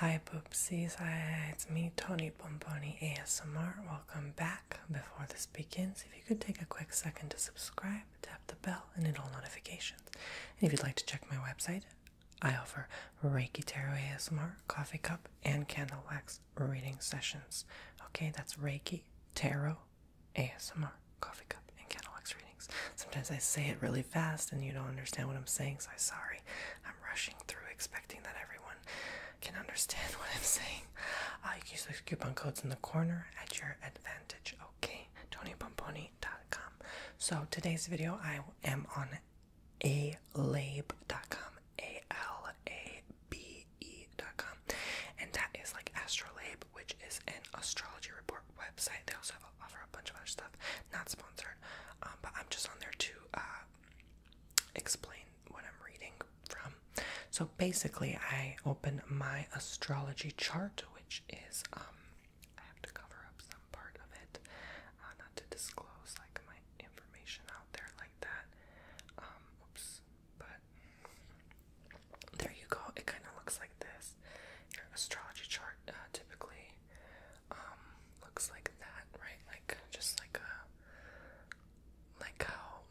Hi Poopsies, Hi, it's me Tony Pomponi ASMR. Welcome back. Before this begins, if you could take a quick second to subscribe, tap the bell, and enable notifications. And if you'd like to check my website, I offer Reiki Tarot ASMR, coffee cup, and candle wax reading sessions. Okay, that's Reiki Tarot ASMR, coffee cup in Kenilworth's readings. Sometimes I say it really fast and you don't understand what I'm saying, so I'm sorry. I'm rushing through expecting that everyone can understand what I'm saying. I uh, use the coupon codes in the corner at your advantage, okay? TonyPomponi.com. So today's video, I am on alabe.com, A L A B E.com, and that is like Astrolabe, which is an astrology report website. They also have offer a bunch of other stuff, not sponsored, um, but I'm just on there to uh, explain what I'm reading from. So basically, I open my astrology chart, which is um, I have to cover up some part of it, uh, not disclose like my information out there like that. Um, oops, but there you go. It kind of looks like this. Your astrology chart uh, typically um, looks like that, right? Like just like a like how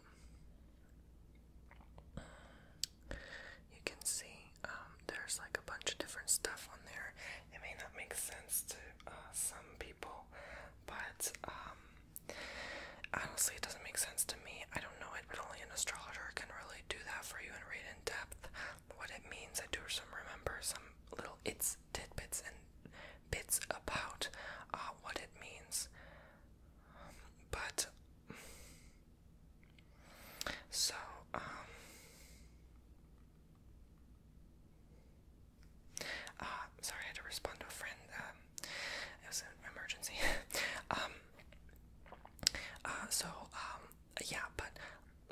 you can see um, there's like a bunch of different stuff on there. It may not make sense to uh, some people, but um, honestly, it doesn't make sense to me. I don't know it, but only an astrologer can really do that for you and read in depth what it means. I do some remember some little its tidbits and bits about uh, what it means. but so um, uh, sorry I had to respond to a friend. Um, it was an emergency. um uh, so um yeah, but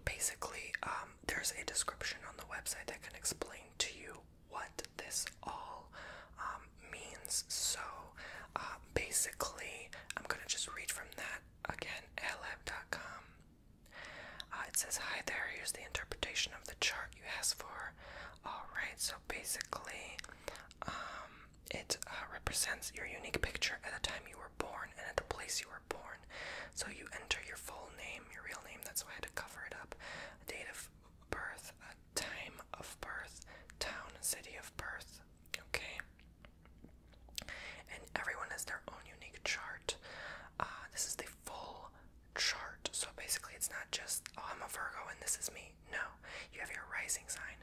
basically, um, there's a description on the website that can explain to you what this all um, means. So, uh, basically, I'm gonna just read from that again. Lab.com. Uh, it says, "Hi there. Here's the interpretation of the chart you asked for." All right. So basically, um, it uh, represents your unique picture at the time you were born and at the place you were born. So you enter your full name, your real name, that's why I had to cover it up, a date of birth, a time of birth, town, city of birth, okay? And everyone has their own unique chart. Uh, this is the full chart, so basically it's not just, oh, I'm a Virgo and this is me. No, you have your rising sign,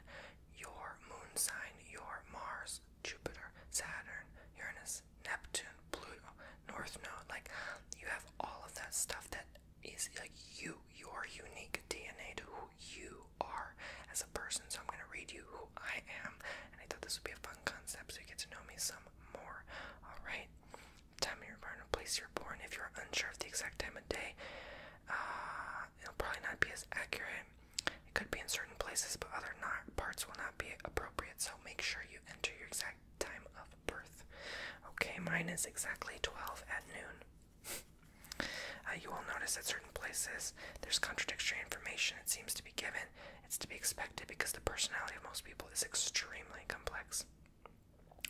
your moon sign, your Mars Jupiter, Saturn, Uranus, Neptune, Pluto, North Node. Like, you have all of that stuff that is like you, your unique DNA to who you are as a person. So, I'm going to read you who I am. And I thought this would be a fun concept so you get to know me some more. All right. Time of your birth and place you're born. If you're unsure of the exact time of day, uh, it'll probably not be as accurate. It could be in certain places, but other not parts will not be appropriate. So make sure you enter your exact time of birth. Okay, mine is exactly 12 at noon. Uh, you will notice at certain places there's contradictory information. It seems to be given. It's to be expected because the personality of most people is extremely complex.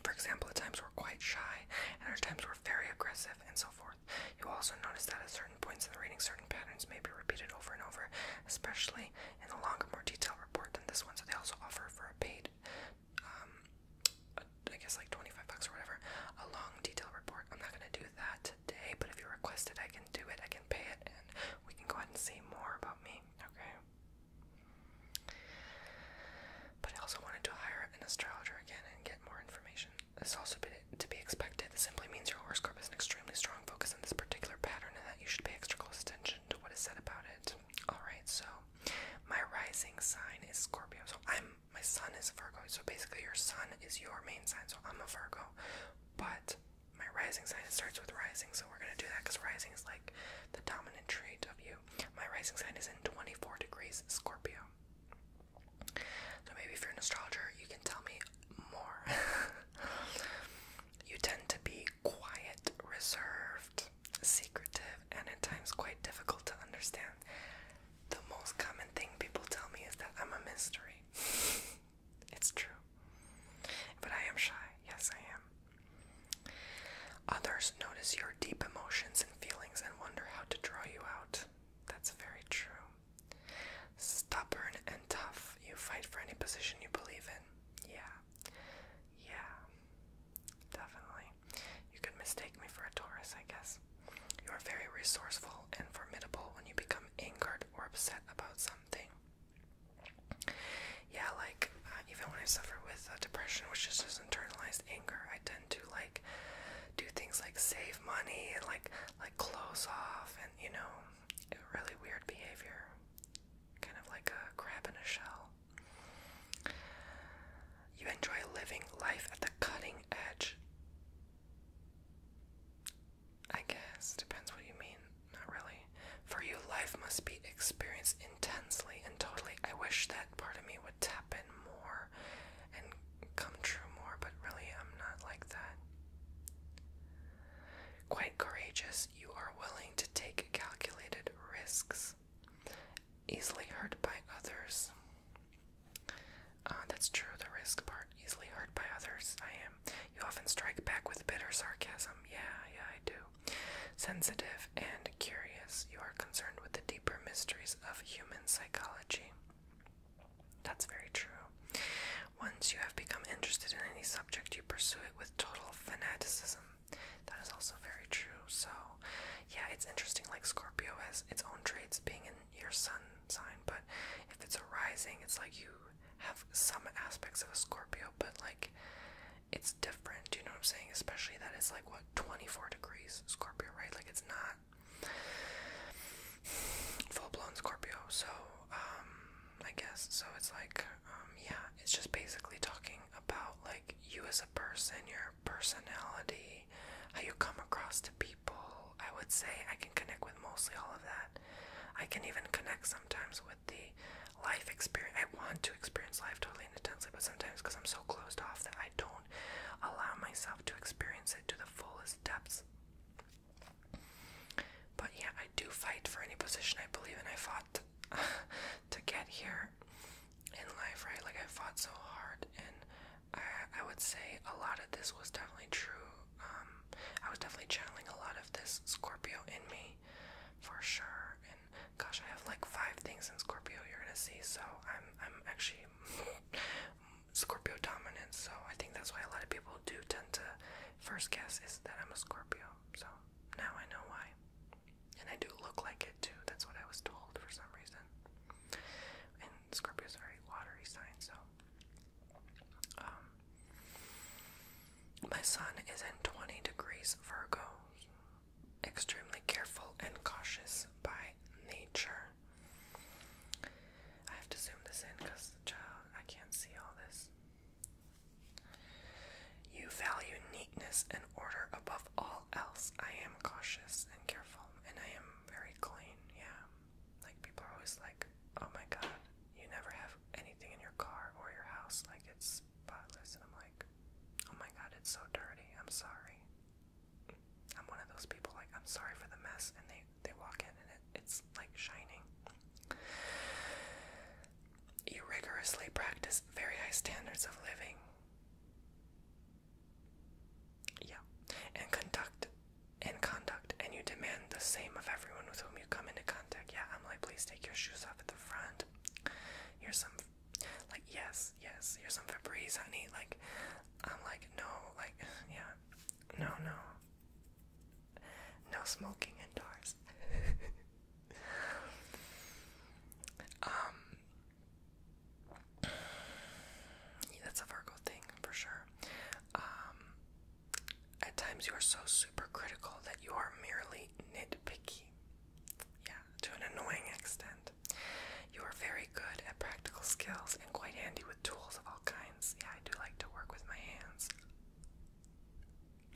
For example, at times we're quite shy, and at times we're very aggressive, and so forth forth. You also notice that at certain points in the reading, certain patterns may be repeated over and over, especially in a longer, more detailed report than this one. So they also offer for a paid, um, a, I guess like 25 bucks or whatever, a long detailed report. I'm not gonna do that today, but if you request it, I can do it. I can pay it, and we can go ahead and see more about me. Okay. But I also wanted to hire an astrologer again and get more information. This also to be expected. This simply means your horoscope has an extremely strong focus on this particular pattern and that you should pay extra close attention to what is said about it. Alright, so my rising sign is Scorpio. So I'm my sun is a Virgo. So basically your sun is your main sign. So I'm a Virgo. But my rising sign starts with rising, so we're gonna do that because rising is like the dominant trait of you. My rising sign is in 24 degrees Scorpio. So maybe if you're an astrologer, you can tell me more. you tend to be quiet, reserved, secretive, and at times quite difficult to understand. The most common thing people tell me is that I'm a mystery. it's true. But I am shy. Yes, I am. Others notice your deep emotions and feelings and wonder how to draw you out. That's very true. Stubborn and tough. You fight for any position you believe in. Yeah. Yeah. Definitely. You could mistake me for a Taurus, I guess. You are very resourceful and formidable when you become angered or upset about something. Yeah, like uh, even when I suffer with uh, depression, which is just internalized anger, I tend to like do things like save money and like like close off and you know really weird behavior kind of like a crab in a shell you enjoy living life at the cutting edge i guess depends what you mean not really for you life must be experienced intensely and totally i wish that part of me would tap in more and come true more, but really, I'm not like that. Quite courageous, you are willing to take calculated risks, easily hurt by others. Uh, that's true, the risk part, easily hurt by others. I am. You often strike back with bitter sarcasm. Yeah, yeah, I do. Sensitive and curious, you are concerned with the deeper mysteries of human psychology. That's very true. Once you have become interested in any subject, you pursue it with total fanaticism. That is also very true. So, yeah, it's interesting. Like Scorpio has its own traits, being in your sun sign, but if it's a rising, it's like you have some aspects of a Scorpio, but like it's different. Do you know what I'm saying? Especially that it's like what 24 degrees Scorpio, right? Like it's not full blown Scorpio, so um, I guess so. It's like, um, yeah, it's just basically talking about like you as a person, your personality, how you come across to people. I would say I can connect with mostly all of that. I can even connect sometimes with the life experience. I want to experience life totally intensely, but sometimes because I'm so closed off that I don't allow myself to experience it to the fullest depths. But yeah, I do fight for any position I believe in. I fought to, get here in life, right? Like I fought so hard, and I, would say a lot of this was definitely true. Um, I was definitely channeling a lot of this Scorpio in me, for sure. And gosh, I have like five things in Scorpio you're gonna see, so I'm I'm actually Scorpio dominance, so I think that's why a lot of people do tend to first guess is that I'm a Scorpio. So now I know why. And I do look like it too. That's what I was told for some reason. And Scorpio's a very watery sign, so um, my sun is in 20 degrees Virgo. Extremely careful and cautious by nature. I have to zoom this in because the child, I can't see all this. You value neatness and order above all else. I am cautious and careful, and I am very clean. Yeah. Like, people are always like, oh my god, you never have anything in your car or your house. Like, it's spotless. And I'm like, oh my god, it's so dirty. I'm sorry. I'm one of those people like I'm sorry for the mess and they they walk in and it, it's like shining. You rigorously practice very high standards of living. Yeah. And conduct and conduct and you demand the same of everyone with whom you come into contact. Yeah, I'm like please take your shoes off at the front. You're some like yes, yes, you're some Febreze, honey. Like, I'm like, no, like, yeah, no, no. No smoking indoors. um, that's a Virgo thing for sure. Um, at times you are so super critical that you are merely nitpicky. Yeah, to an annoying extent. You are very good at practical skills and quite handy with tools of all kinds. Yeah, I do like to work with my hands.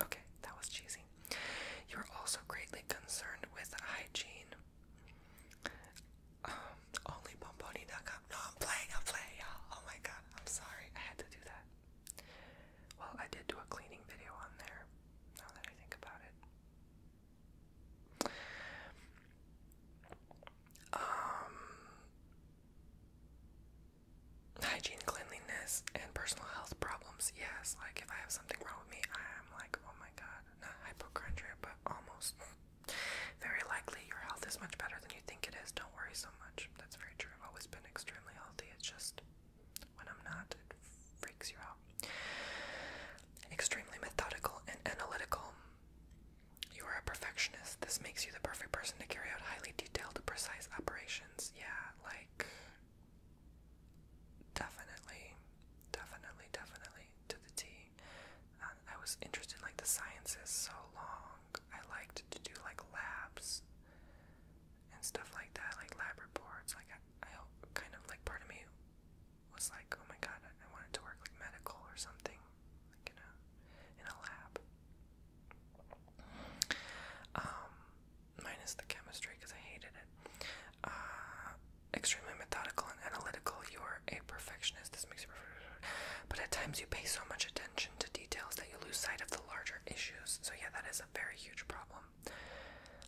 Okay, that was cheesy. You are also greatly concerned with hygiene. Um, only bomboni.com. No, I'm playing, I'm playing, y'all. Oh my god, I'm sorry. I had to do that. Well, I did do a cleaning video on there, now that I think about it. Um, hygiene, cleanliness, and personal health problems. Yes, like if I have something wrong with me, I'm like, oh my god, not hypochondria, but almost. Very likely your health is much better than you think it is. Don't worry so much. That's very true. I've always been extremely healthy. It's just when I'm not, it freaks you out. Extremely methodical and analytical. You are a perfectionist. This makes you the perfect person to carry out highly detailed, precise operations. Yeah, like. Definitely. Definitely, definitely. To the T. Um, I was interested in like the sciences so long. I liked to do like labs and stuff like that, like lab reports. Like, I, I kind of like part of me was like, oh my god, I, wanted to work like medical or something, like in a in a lab. Um, minus the chemistry because I hated it. Uh, extremely methodical and analytical. You are a perfectionist. This makes you perfect. But at times you pay so much attention to details that you lose sight of the larger issues. So yeah, that is a very huge problem.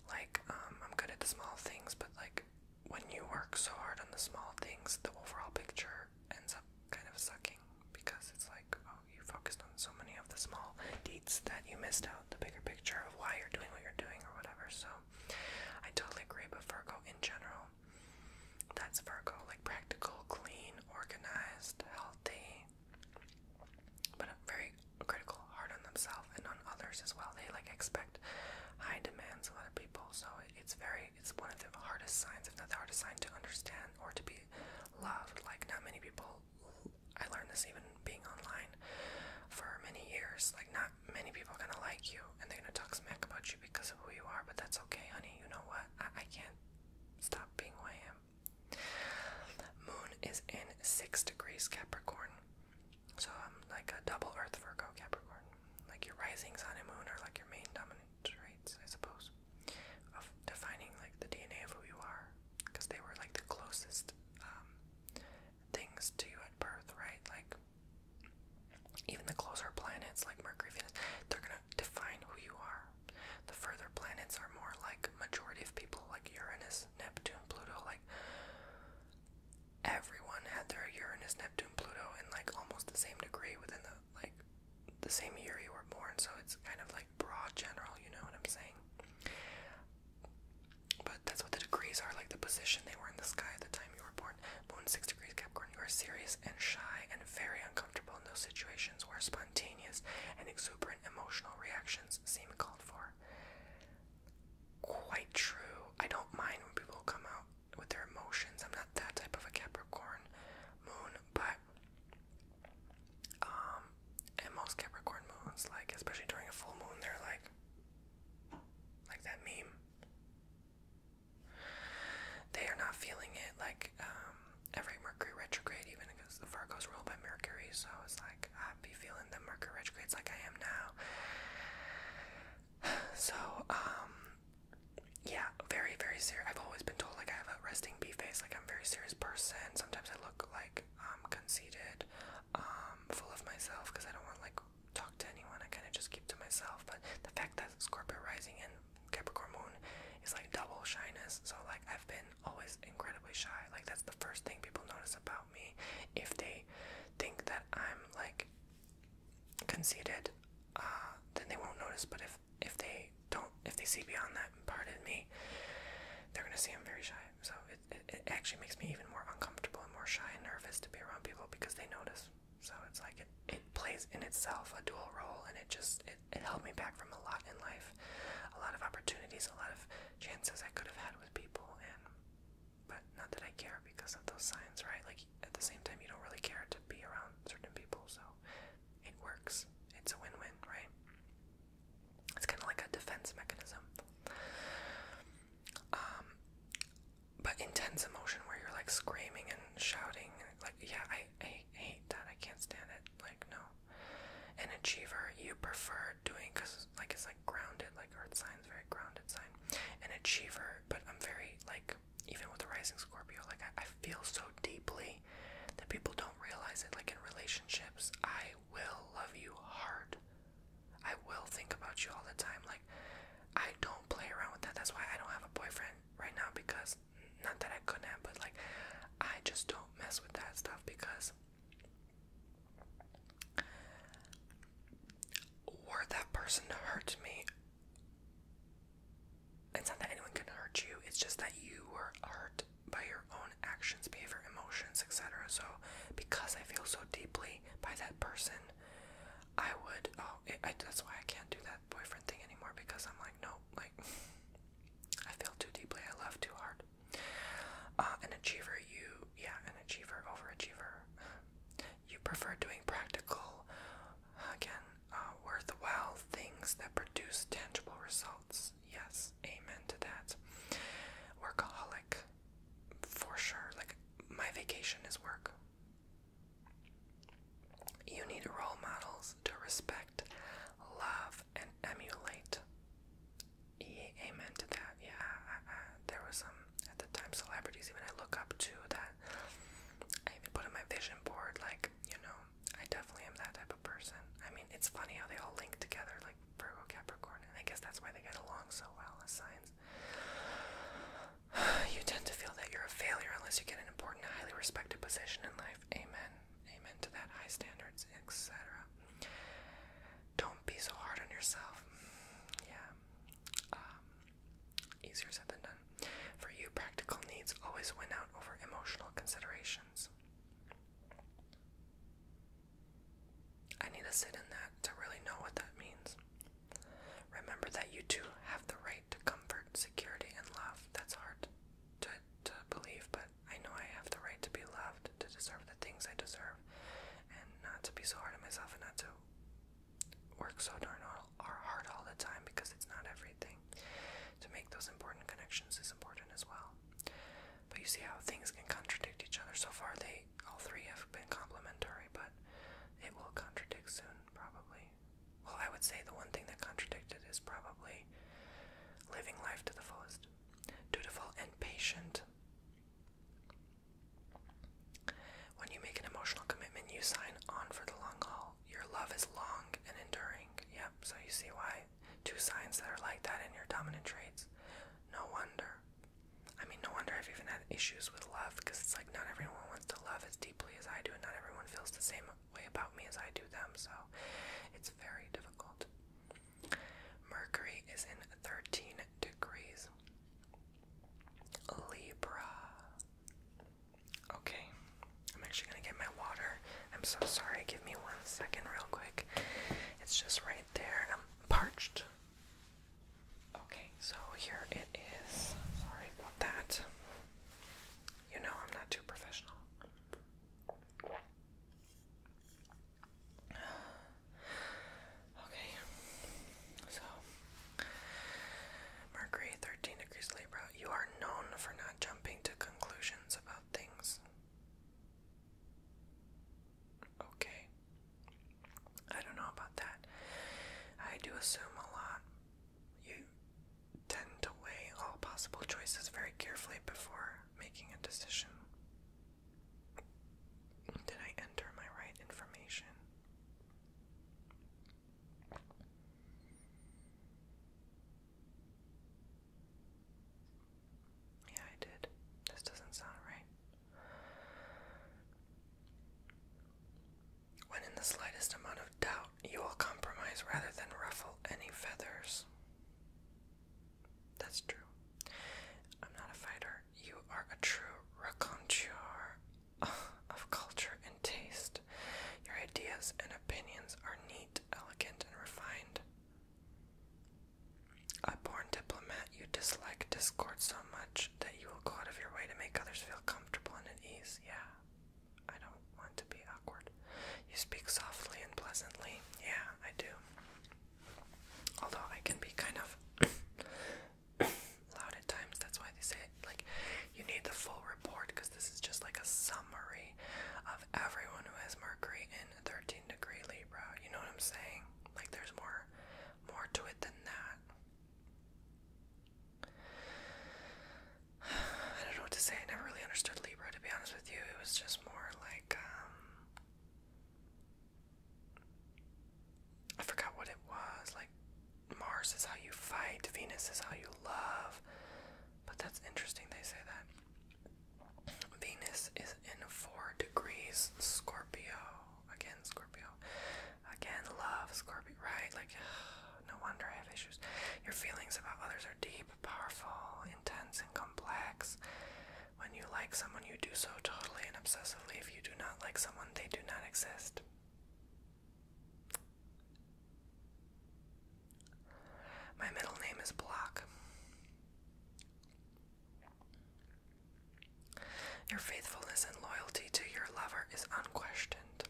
Like, um, I'm good at the small things, but like when you work so hard on the small things, the overall picture ends up kind of sucking because it's like, oh, you focused on so many of the small deeds that you missed out the bigger picture of why you're doing what you're doing or whatever. So I totally agree, but Virgo in general, that's Virgo, like practical, clean, organized, healthy, but very critical, hard on themselves and on others as well. They like expect high demands of other people. So it's very it's one of the hardest signs, if not the hardest sign, to understand or to be loved. Like not many people I learned this even being online for many years. Like not many people are gonna like you and they're gonna talk smack about you because of who you are, but that's okay, honey. You know what? I, I can't stop being who I am. Moon is in six degrees Capricorn. So I'm like a double Earth Virgo Capricorn. Like your rising sun and moon are like your main dominant traits, I suppose, of defining like the DNA of who you are, because they were like the closest um, things to you at birth, right? Like even the closer planets like Mercury, Venus, they're gonna define who you are. The further planets are more like majority of people, like Uranus, Neptune, Pluto, like everyone had their Uranus, Neptune, Pluto in like almost the same degree within the like the same year you were born, so it's kind of like broad general, you know what I'm saying? But that's what the degrees are, like the position they were in the sky at the time you were born. Moon six degrees Capricorn, you are serious and shy and very uncomfortable in those situations where spontaneous and exuberant emotional reactions seem called for quite true. I don't mind when people come out with their emotions. I'm not that type of a Capricorn moon, but um and most Capricorn moons, like especially during a full moon, they're like like that meme. They are not feeling it like um every Mercury retrograde, even because the Virgo's ruled by Mercury, so it's like be feeling the Mercury retrogrades like I am now. So, um, yeah, very, very serious. I've always been told like I have a resting bee face, like I'm a very serious person. Sometimes I look like um conceited, um, full of myself because I don't want like talk to anyone. I kind of just keep to myself. But the fact that Scorpio rising and Capricorn moon is like double shyness. So like I've been always incredibly shy. Like that's the first thing people notice about me if they think that I'm like conceited, uh, then they won't notice. But if if they don't, if they see beyond that part of me, they're gonna see I'm very shy. So it, it it actually makes me even more uncomfortable and more shy and nervous to be around people because they notice. So it's like it it plays in itself a dual role, and it just it, it held me back from a lot in life, a lot of opportunities, a lot of chances I could have had with people, and but not that I care because of those signs, right? Like at the same time, you don't really care to be around certain people, so it works. It's a win-win, right? It's kind of like a defense mechanism. Um, but intense emotion where you're like screaming and shouting, like yeah, I, I hate that. I can't stand it. Like no. An achiever, you prefer are doing because like it's like grounded, like Earth signs, very grounded sign, an achiever. But I'm very like even with the rising Scorpio, like I, I feel so deeply that people don't realize it. Like in relationships, I will love you hard. I will think about you all the time. Like I don't play around with that. That's why I don't have a boyfriend right now because not that I couldn't have, but like I just don't mess with that stuff because were that person to hurt me, it's not that anyone can hurt you, it's just that you were hurt by your own actions, behavior, emotions, etc. So, because I feel so deeply by that person, I would. Oh, that's why I can't do that boyfriend thing anymore because I'm like, no, like, I feel too deeply, I love too hard. Uh, an achiever, you, yeah, an achiever, overachiever. You prefer doing practical, again, uh, worthwhile things that produce tangible results. Yes, amen to that. Workaholic, for sure. Like, my vacation is work. You need role models to respect, love, and emulate amen to that. Yeah, there was some at the time celebrities even I look up to that I even put in my vision board. Like you know, I definitely am that type of person. I mean, it's funny how they all link together, like Virgo, Capricorn, and I guess that's why they get along so well as signs. You tend to feel that you're a failure unless you get an important, highly respected position in life. Amen. Amen to that. High standards, etc. Don't be so hard on yourself. Mm, yeah. Um, easier said than done. For you, practical needs always win out over emotional considerations. I need to sit in that to really know what that means. Remember that you too have the right to comfort, security, and love. That's hard to, to believe, but I know I have the right to be loved to deserve the things I deserve, and not to be so hard on myself and not to work so darn hard all the time because it's not everything. To make those important connections is important as well. But you see how things can contradict each other. So far, they all three have been complementary, but it will contradict soon, probably. Well, I would say the one thing that contradicted is probably living life to the fullest, dutiful and patient. When you make an emotional commitment, you sign on for the long haul. Your love is long and enduring. Yep, so you see why two signs that are like that in your dominant traits. No wonder. I mean, no wonder I've even had issues with love because it's like not everyone wants to love as deeply as I do, and not everyone feels the same way about me as I do them, so it's very difficult. Mercury is in 13 degrees. Libra. Okay, I'm actually gonna get my water. I'm so sorry, give me one second, real quick. It's just right there. I'm parched. Okay, so here it is. Sorry about that. You know, I'm not too professional. Okay, so Mercury, 13 degrees Libra, you are known for not jumping to conclusions about things. Okay, I don't know about that. I do assume a lot. You tend to weigh all possible choices very carefully before making a decision. Did I enter my right information? Yeah, I did. This doesn't sound right. When in the slightest amount of doubt, you will compromise rather than ruffle any feathers. That's true. I'm not a fighter. You are a true raconteur of culture and taste. Your ideas and opinions are neat, elegant, and refined. A born diplomat, you dislike discord so much that you will go out of your way to make others feel comfortable and at ease. Yeah, I don't want to be awkward. You speak softly and pleasantly. Yeah, I do. Although I can be kind of loud at times, that's why they say like you need the full report because this is just like a summary of everyone who has Mercury in 13 degree Libra. You know what I'm saying? Like there's more more to it than that. I don't know what to say. I never really understood Libra to be honest with you. It was just more like um, I forgot what it was. Like, Mars is how you fight, Venus is how you love. But that's interesting, they say that. Venus is in four degrees Scorpio. Again, Scorpio. Again, love, Scorpio, right? Like, no wonder I have issues. Your feelings about others are deep, powerful, intense, and complex. When you like someone, you do so totally and obsessively. If you do not like someone, they do not exist. My middle name is Block. Your faithfulness and loyalty to your lover is unquestioned.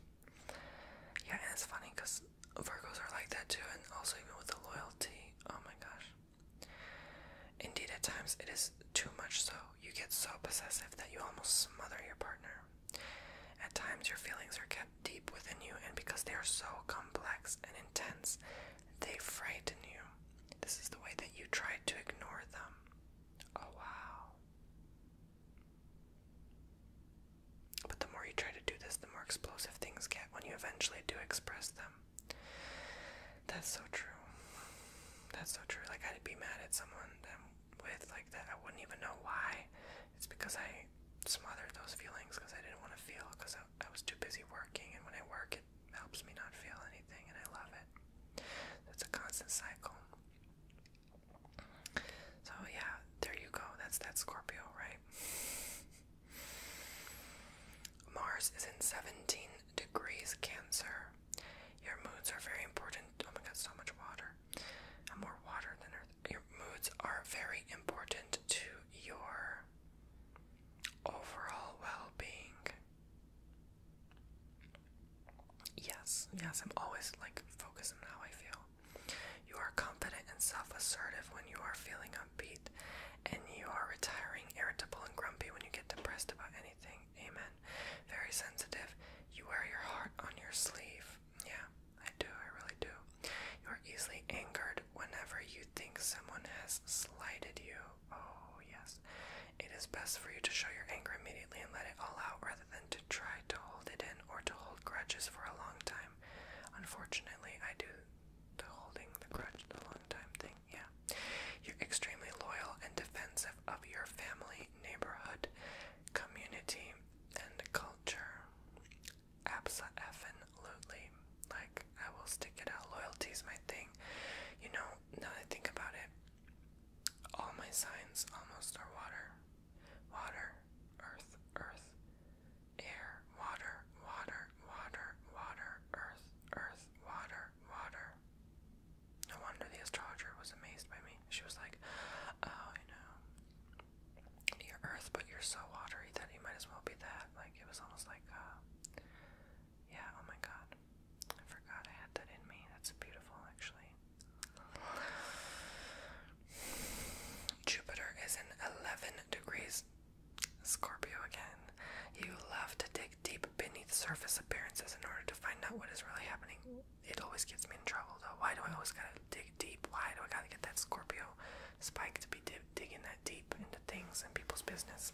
Yeah, and it's funny because Virgos are like that too, and also even with the loyalty. Oh my gosh. Indeed, at times it is too much so. You get so possessive that you almost smother your partner. At times, your feelings are kept deep within you, and because they are so complex and intense, they frighten you. This is the way that you try to ignore them. Oh, wow. But the more you try to do this, the more explosive things get when you eventually do express them. That's so true. That's so true. Like I'd be mad at someone with like that. I wouldn't even know why. It's because I smothered those feelings because I didn't want to feel because I, I was too busy working. And when I work, it helps me not feel anything, and I love it. It's a constant cycle. So yeah, there you go. That's that Scorpio, right? Mars is in 17 degrees Cancer. Your moods are very important. Oh my god, so much water. And more water than Earth. Your moods are very important to your overall well being. Yes, yes, I'm always like focused on how I feel. You are confident and self assertive when you are feeling upbeat and you are retiring, irritable, and grumpy when you get depressed about anything. Amen. Very sensitive. You wear your heart on your sleeve. Yeah, I do. I really do. You are easily angered whenever you think someone has slighted you. Oh, yes. It is best for you to show your anger immediately and let it all out rather than to try to hold it in or to hold grudges for a long time. Unfortunately, I do the holding the grudge the long time thing. Yeah. You're extremely loyal and defensive of your family, neighborhood, community, and culture. Absolutely. Like, I will stick it out. Loyalty is my thing. You know, now I think about it, all my signs almost are water. Water, earth, earth, air, water, water, water, water, earth, earth, water, water. No wonder the astrologer was amazed by me. She was like, Oh, you know, you're earth, but you're so watery that you might as well be that. Like, it was almost like, uh, yeah, oh my god. I forgot I had that in me. That's beautiful, actually. Jupiter is in 11 degrees Scorpio again. You love to dig deep beneath surface appearances in order to find out what is really happening. It always gets me in trouble though. Why do I always gotta dig deep? Why do I gotta get that Scorpio spike to be dig digging that deep into things and people's business?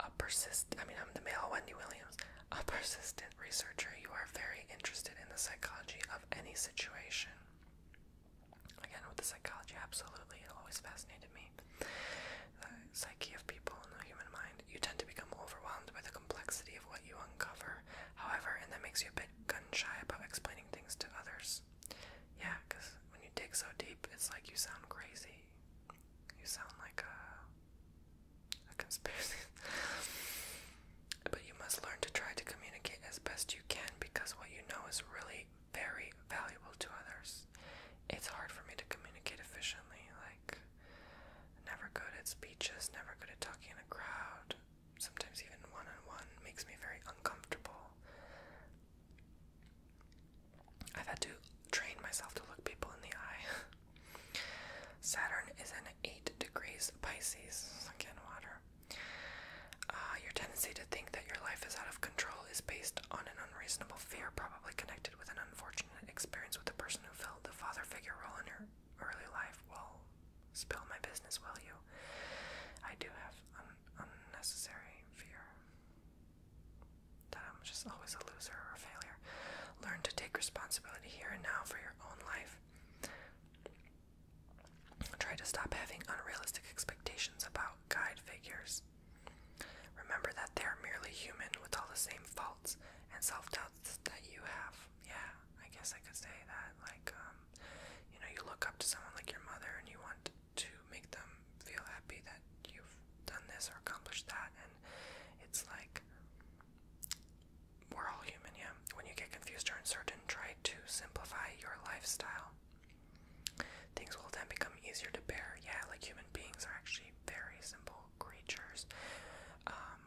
A persistent. I mean I'm the male Wendy Williams. A persistent researcher, you are very interested in the psychology of any situation. Again, with the psychology, absolutely, it always fascinated me. The psyche of people and the human mind, you tend to become overwhelmed by the complexity of what you uncover, however, and that makes you a bit gun shy about explaining things to others. Yeah, because when you dig so deep, it's like you sound crazy. You sound like a, a conspiracy. But you must learn to try to communicate as best you can because what you know is really very valuable to others. It's hard for me to communicate efficiently, like, never good at speeches, never good at talking in a crowd. Sometimes even one on one makes me very uncomfortable. I've had to train myself to look people in the eye. Saturn is in 8 degrees Pisces, again, water. Uh, your tendency to think that your life is out of control is based on an unreasonable fear, probably connected with an unfortunate experience with a person who filled the father figure role in your early life. Will spill my business, will you? I do have un unnecessary fear that I'm just always a loser or a failure. Learn to take responsibility here and now for your own life. Try to stop having unrealistic expectations about guide figures. Remember that they are merely human with all the same faults and self doubts that you have. Yeah, I guess I could say that. Like, um, you know, you look up to someone like your mother and you want to make them feel happy that you've done this or accomplished that, and it's like we're all human, yeah. When you get confused or uncertain, try to simplify your lifestyle. Things will then become easier to bear. Yeah, like human beings are actually very simple creatures. Um,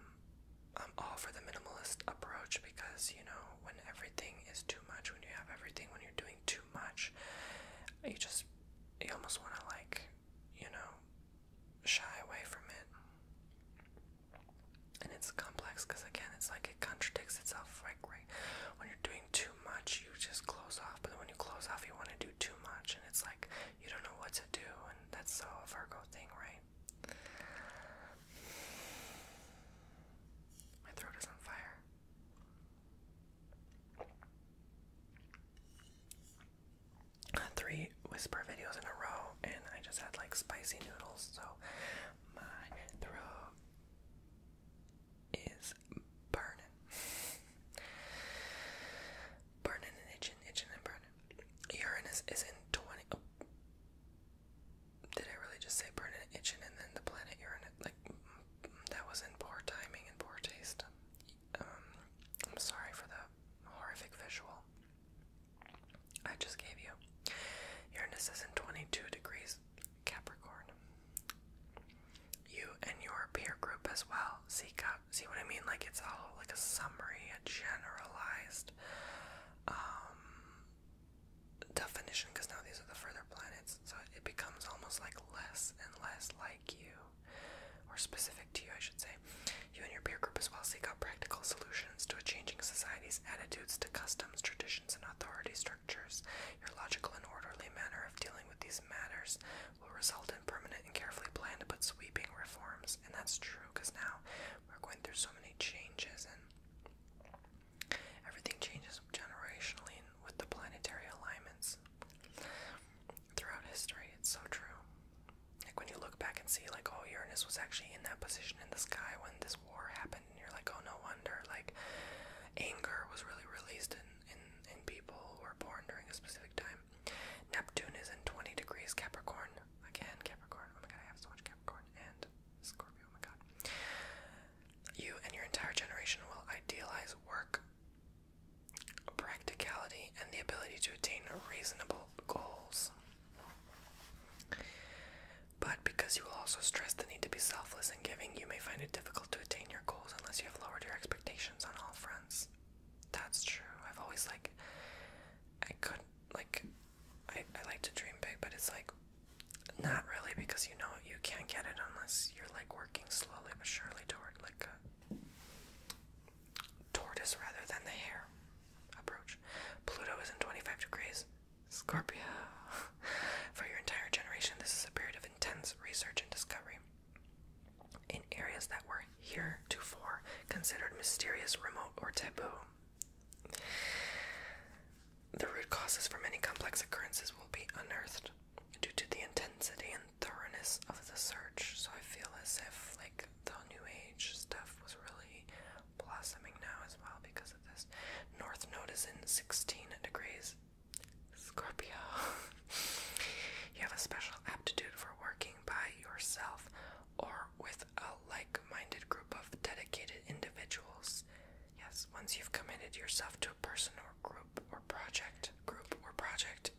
I'm all for the minimalist approach because, you know, when everything is too much, when you have everything, when you're doing too much, you just, you almost want to, like, you know, shy away from it and it's complex because again it's like it contradicts itself right, right when you're doing too much you just close off but when you close off you want to do too much and it's like you don't know what to do and that's so a Virgo thing right my throat is on fire Three whisper videos in a row, and I just had like spicy noodles, so my throat is burning. burning and itching, itching and burning. Uranus is in 20. Oh. Did I really just say burning itching and then the planet Uranus? Like, mm, mm, that was in poor timing and poor taste. Um, I'm sorry for the horrific visual. I just gave you. Uranus is in 22 degrees Capricorn. You and your peer group as well. seek See, see what I mean? Like it's all like a summary, a generalized um, definition. Because now these are the further planets, so it becomes almost like less and less like you, or specific to you, I should say. You and your peer group as well. See, practical solutions to a changing society's attitudes to customs, traditions, and authority structures. Your logical and orderly manner of dealing with these matters will result in permanent and carefully planned but sweeping reforms. And that's true because now we're going through so many changes and everything changes generationally and with the planetary alignments throughout history. It's so true. Like when you look back and see, like, oh, Uranus was actually in that position in the sky when this war happened and you're like, oh no wonder like anger was really released in in, people who were born during a specific time. Neptune is in 20 degrees Capricorn. Again, Capricorn. Oh my god, I have so much Capricorn and Scorpio. Oh my god. You and your entire generation will idealize work, practicality, and the ability to attain reasonable goals. But because you will also stress the need to be selfless in giving, you may find it difficult to attain your goals unless you have lowered your expectations on all fronts. That's true. I've always like I could like I, I like to dream big, but it's like not really because you know you can't get it unless you're like working slowly but surely toward like a tortoise rather than the hare approach. Pluto is in 25 degrees Scorpio. For your entire generation, this is a period of intense research and discovery in areas that were heretofore considered mysterious, remote, or taboo. The root causes for many complex occurrences will be unearthed due to the intensity and thoroughness of the search. So I feel as if like the new age stuff was really blossoming now as well because of this. North node is in 16 degrees Scorpio. you have a special aptitude for working by yourself or with a like minded group of dedicated individuals. Yes, once you've committed yourself to a person or group or project, group or project,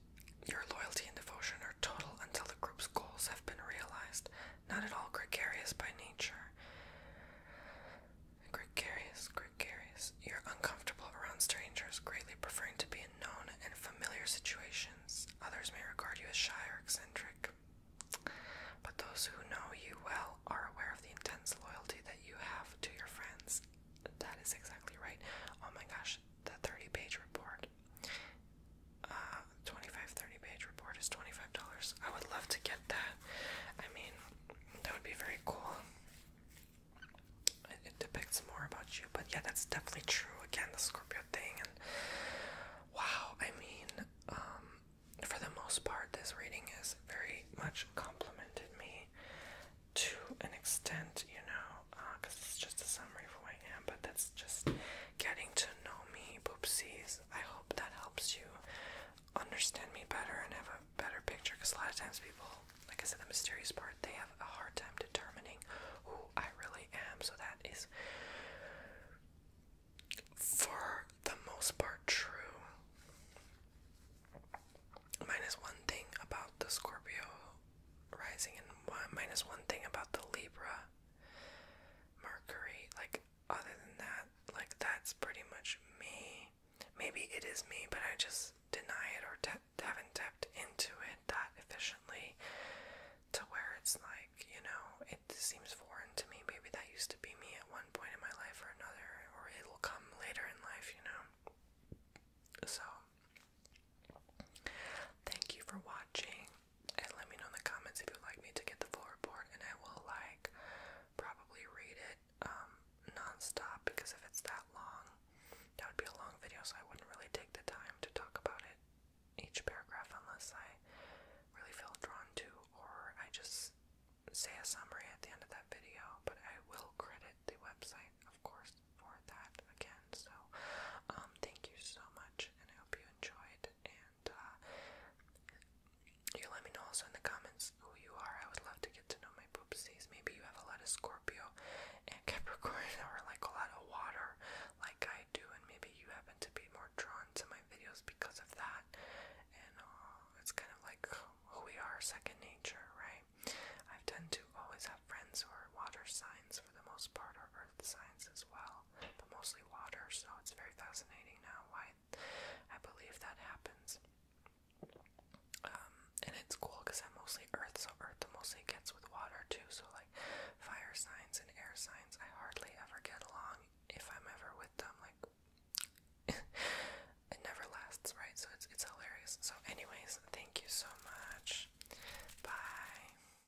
your loyalty and devotion are total until the group's goals have been realized not at all gregarious by nature. Gregarious, gregarious. You're uncomfortable around strangers, greatly preferring to be in known and familiar situations. Others may regard you as shy or eccentric, but those who know you well are aware of the intense loyalty that you have to your friends. That is exactly right. Oh my gosh, the 30 page report. Uh, 25 30 page report is $25. I would love to get that. I mean, that would be very cool. It, it depicts more about you, but yeah, that's definitely true. Again, the Scorpio thing, and wow, I mean, um, for the most part, this reading is very much complimented me to an extent, you know, because uh, it's just a summary of who I am, but that's just getting to know me, poopsies. I hope that helps you understand me better and have a better picture because a lot of times people, like I said, the mysterious part, they have a hard time determining who I really am. So that is, for the most part, true. Minus one thing about the Scorpio rising, and one thing about the Libra Mercury. Like, other than that, like, that's pretty much me. Maybe it is me, but I just deny it or haven't tapped into it that efficiently to where it's like, you know, it seems foreign to me. Maybe that used to be me at one point in my life or another, or it'll come later in life, you know. So, thank you for watching and let me know in the comments if you'd like me to get the full report, and I will like probably read it um, non-stop because if it's that long, that would be a long video, so I wouldn't really take the time to talk about it each paragraph unless I really feel drawn to, or I just say a summary at the end of that video. But I will credit the website, of course, for that again. So, um, thank you so much, and I hope you enjoyed and uh, you let me know also in the comments who you are. I would love to get to know my poopsies. Maybe you have a lot of Scorpio and Capricorn, or like a lot of water, like I do, and maybe you happen to be more drawn to my videos because of that. And uh, it's kind of like who we are, second nature, right? I tend to always have friends who are water signs for the most part, or earth signs as well but mostly water, so it's very fascinating now why I believe that happens. Um, and it's cool because I'm mostly earth, so earth mostly gets with water too, so like fire signs and air signs, I hardly ever get along if I'm ever with them, like it never lasts, right? So it's it's hilarious. So anyways, thank you so much. Bye.